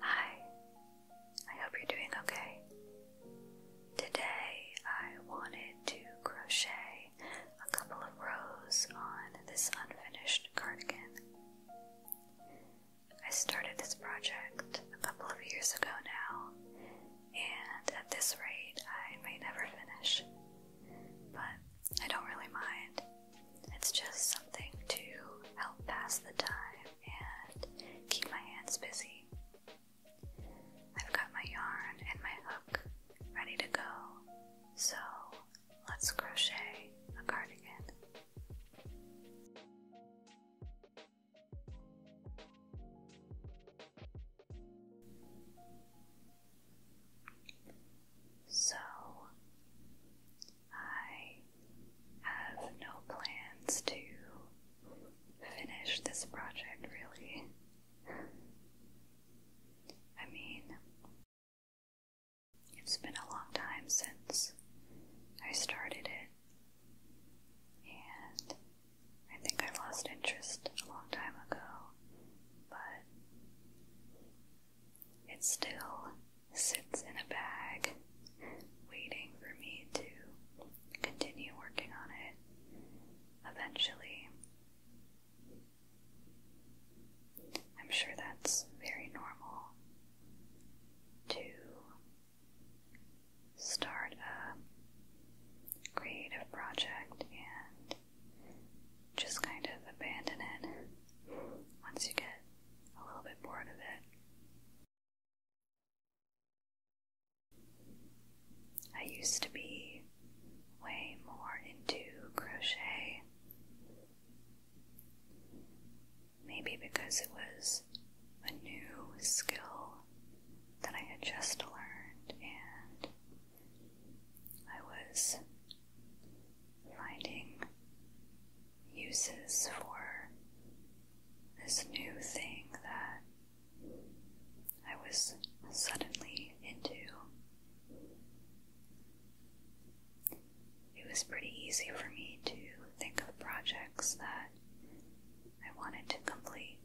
Hi, I hope you're doing okay. Today I wanted to crochet a couple of rows on this unfinished cardigan. I started this project a couple of years ago now, and at this rate I may never finish, but I don't really mind it's just something to help pass the time and keep my hands busy. I've got my yarn and my hook ready to go, so let's crochet a cardigan. So I have no plans to finish this project, really. I mean, it's been a long time since I started it, and I think I lost interest a long time ago, but it still sits in a bag, waiting for me to continue working on it eventually. I'm sure that's very normal to start a creative project and just kind of abandon it once you get a little bit bored of it. I used to be way more into crochet. Maybe because it was a new skill that I had just learned and I was finding uses for this new thing that I was suddenly into. It was pretty easy for me to think of projects that I wanted to complete.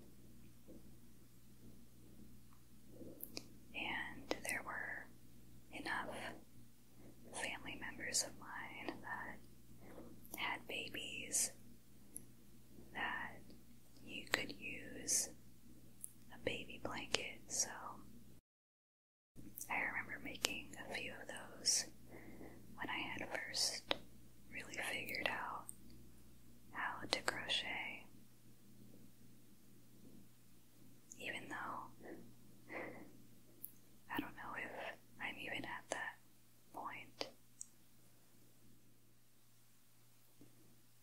And there were enough family members of mine that had babies that you could use a baby blanket. So I remember making a few of those when I had first really figured out how to crochet even though I don't know if I'm even at that point.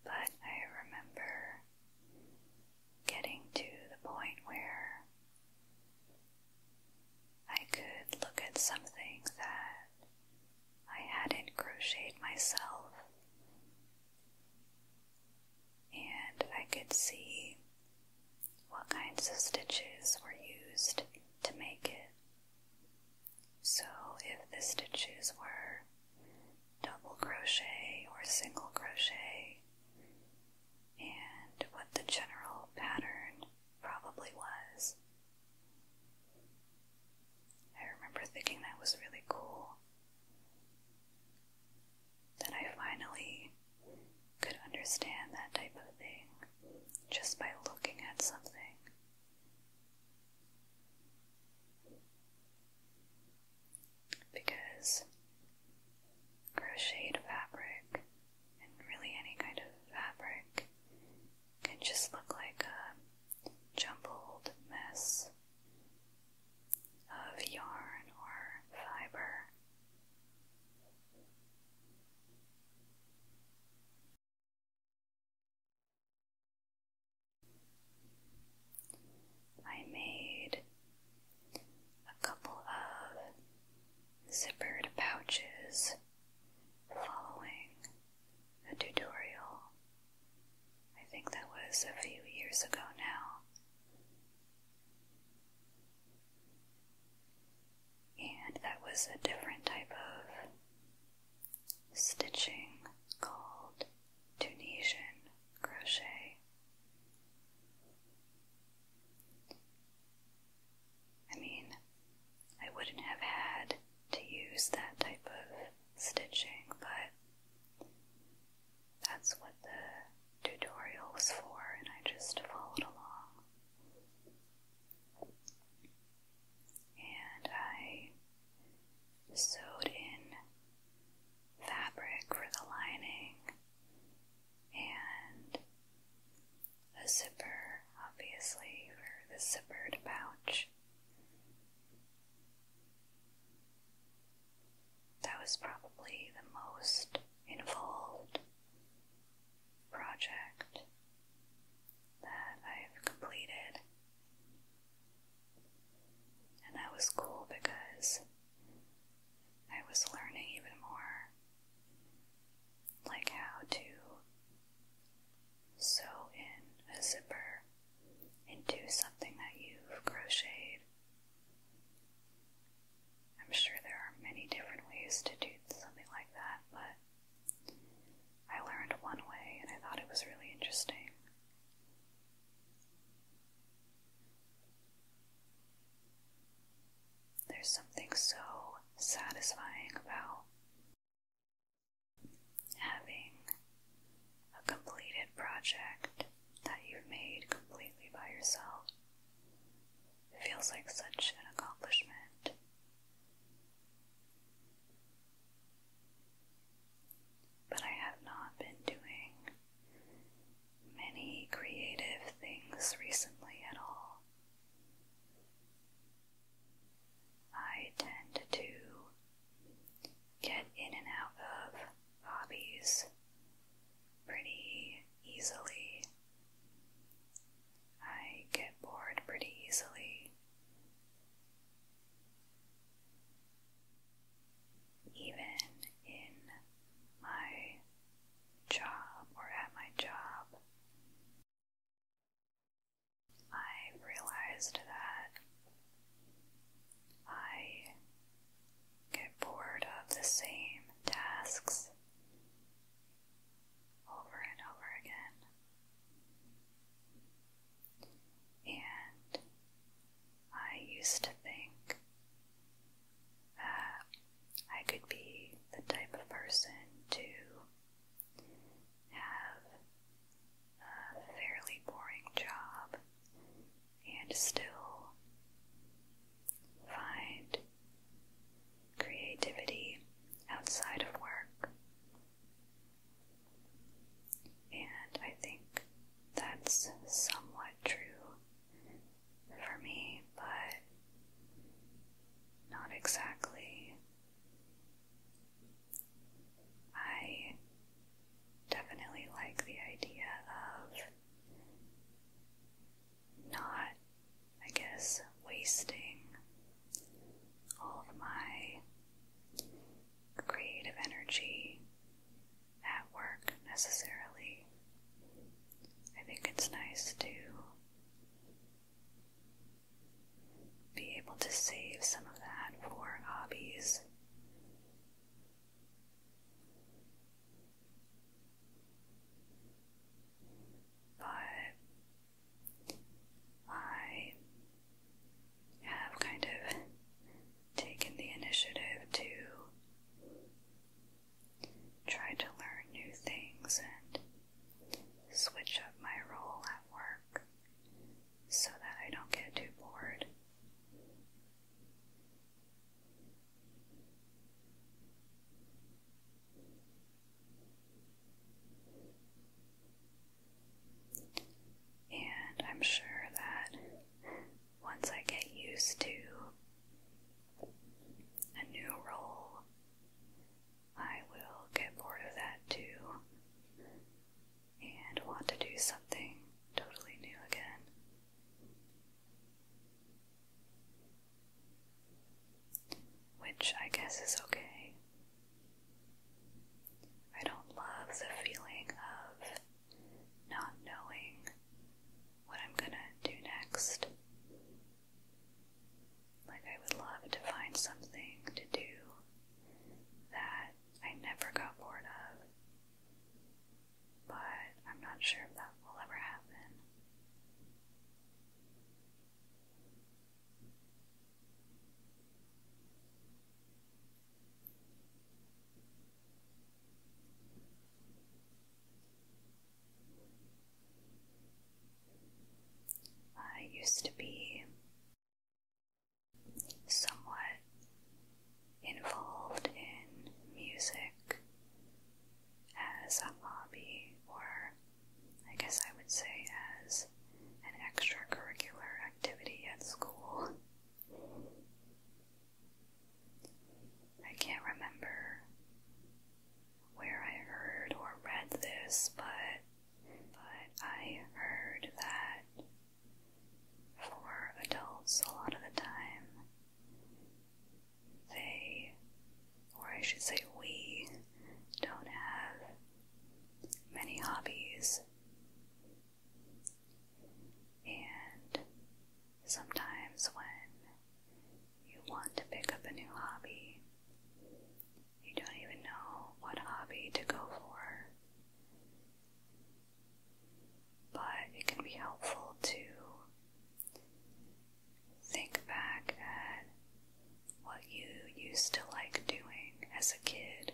But I remember getting to the point where I could look at something that I hadn't crocheted myself and I could see what kinds of stitches were used to make it. So, if the stitches were double crochet or single crochet, and what the general pattern probably was. I remember thinking that was really cool that I finally could understand that type of thing just by looking at something. Because crocheted fabric and really any kind of fabric can just look like a jumbled mess of yarn or fiber. I made a couple of zippered pouches following a tutorial I think that was a few years ago now. And that was a different type of stitching called Tunisian crochet. I mean, I wouldn't have had to use that type of stitching, but that's what the tutorial was for, and I just followed along. And I sewed in fabric for the lining and a zipper, obviously, for the zippered pouch. That was probably the most involved project that I've completed. And that was cool because I was learning even more like how to sew in a zipper into something that you've crocheted. I'm sure there are many different ways to do something like that, but I learned one way and I thought it was really interesting. There's something so satisfying about having a completed project that you've made completely by yourself feels like such an accomplishment. But I have not been doing many creative things recently at all. I tend to get in and out of hobbies pretty easily. I get bored pretty easily. Even in my job or at my job, I realized that I get bored of the same tasks over and over again. And I used to think that I could be the type of person to have a fairly boring job and still find creativity outside of work. And I think that's somewhat true for me, but not exactly I definitely like the idea of not, I guess, wasting all of my creative energy at work necessarily. I think it's nice to be able to save some of that for hobbies. But I have kind of taken the initiative to try to learn new things and switch up my role at work so that I don't get too bored. And I'm sure that once I get used to a new role, I will get bored of that too and want to do something totally new again. Which I guess is okay. I don't love the feeling of not knowing what I'm gonna do next. Like, I would love to find something to do that I never got bored of, but I'm not sure if that will ever happen. I used to be somewhat involved in music as a hobby, or I guess I would say as an extracurricular activity at school. I can't remember where I heard or read this, but but I heard that for adults, a lot of the time, they, or I should say, we, don't have many hobbies. And sometimes when you want to pick up a new hobby, you don't even know what hobby to go for. But it can be helpful to think back at what you used to like doing as a kid.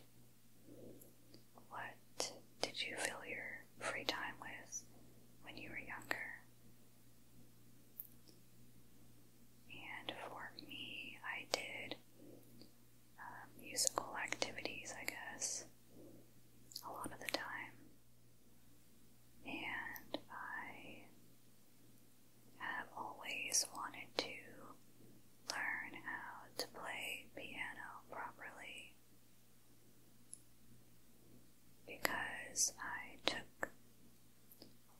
What did you fill your free time with when you were younger? And for me, I did um, musical activities, I guess, a lot of the time. And I have always wanted to learn how to play piano properly because I took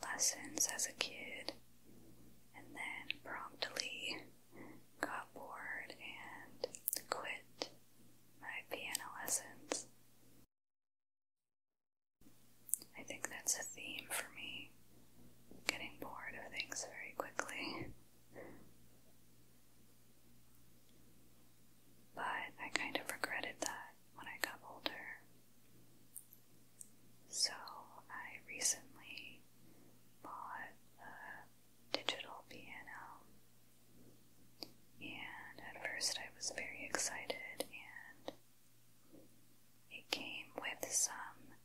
lessons as a kid and then promptly got bored and quit my piano lessons. I think that's a theme for me, getting bored of things very quickly. But I kind of regretted that when I got older. So I recently bought a digital piano, and at first I was very excited, and it came with some,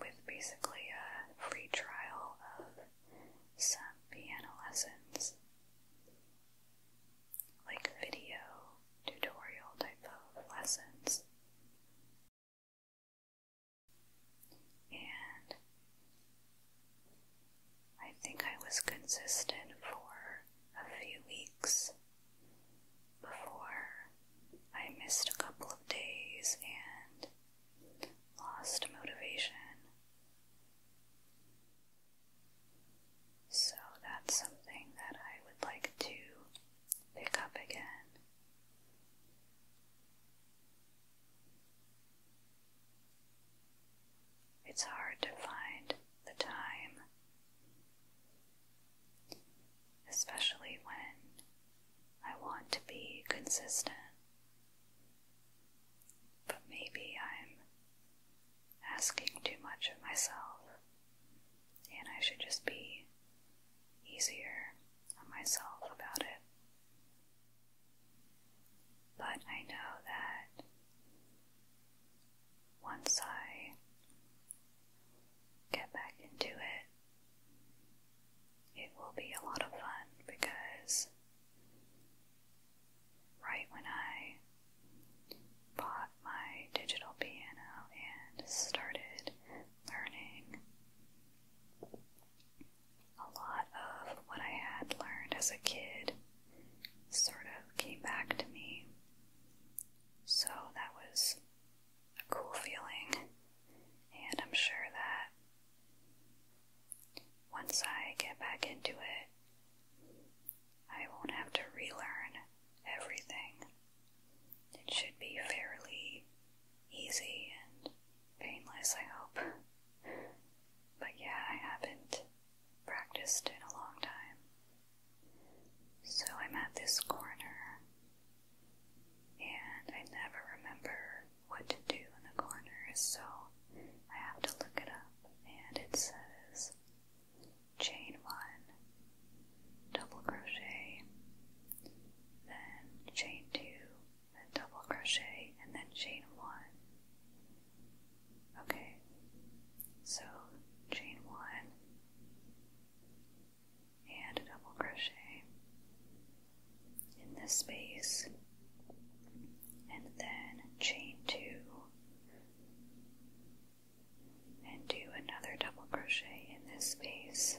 with basically a free trial of some piano lessons like video tutorial type of lessons. And I think I was consistent for a few weeks before I missed a couple of days and lost motivation. So that's something that I would like to pick up again. It's hard to find the time, especially when I want to be consistent. But maybe I'm asking too much of myself, and I should just be easier on myself about it. But I know that once I get back into it, it will be a lot of fun because right when I bought my digital piano and started learning a lot of what I had learned as a kid sort of came back to me. So that was a cool feeling, and I'm sure that once I get back into it, I won't have to relearn everything. It should be fairly easy and painless, I hope. But yeah, I haven't practiced in a long time. So I'm at this corner, and I never remember what to do in the corners, so I have to look it up. And it says chain one, double crochet, then chain two, then double crochet, and then chain one. Okay, so chain one and a double crochet in this space, and then chain two, and do another double crochet in this space.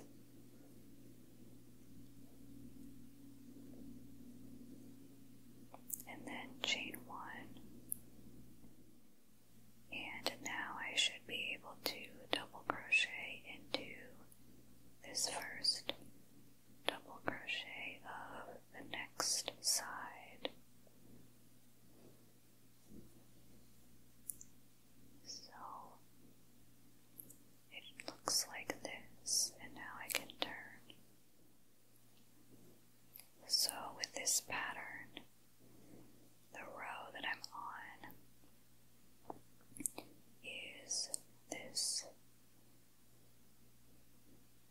And then chain one. And now I should be able to double crochet into this first double crochet of the next side. So it looks like this, and now I can turn. So, with this pattern, the row that I'm on is this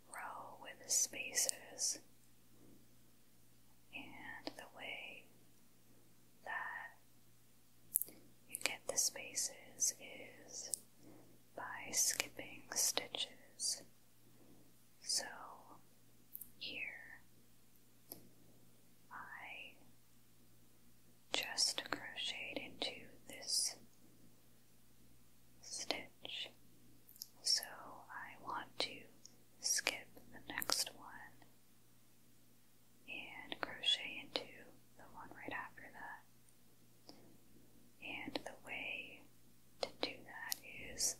row with spaces and the way that you get the spaces is by skipping stitches. So here I just crocheted into this stitch. So I want to skip the next one and crochet into the one right after that. And the way to do that is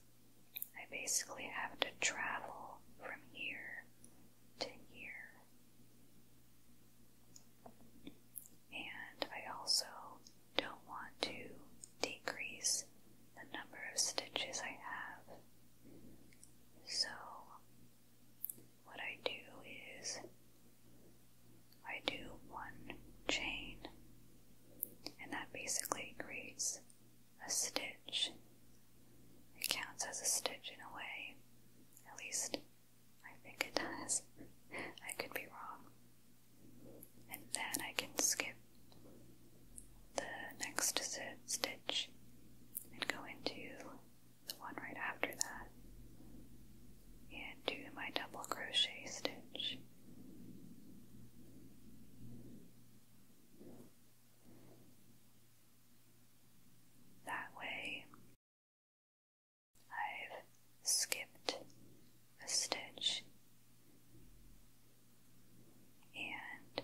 I basically have to travel from here to here. And I also don't want to decrease the number of stitches I have. So, what I do is I do one chain, and that basically creates a stitch. It counts as a stitch in a way, at least I think it does. I could be wrong and then I can skip the next stitch and go into the one right after that and do my double crochet stitch. That way, I've skipped a stitch and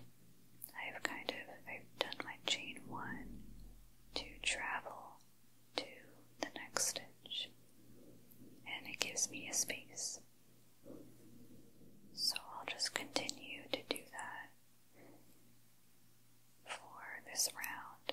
I've kind of I've done my chain one to travel to the next stitch and it gives me a space. So I'll just continue to do that for this round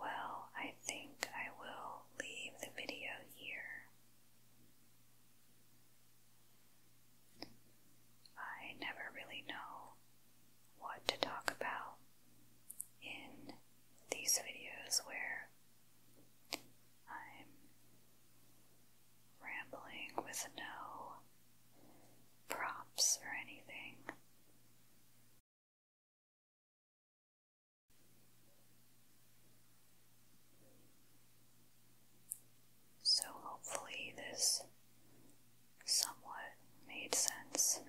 Well, I think I will leave the video here. I never really know what to talk about in these videos where I'm rambling with no props or anything. So, hopefully, this somewhat made sense,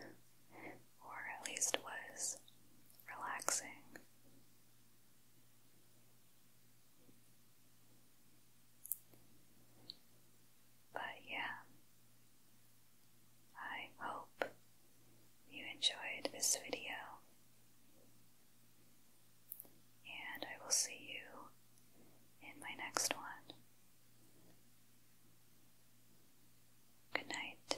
or at least was relaxing. But yeah, I hope you enjoyed this video, and I will see you in my next one. Good night.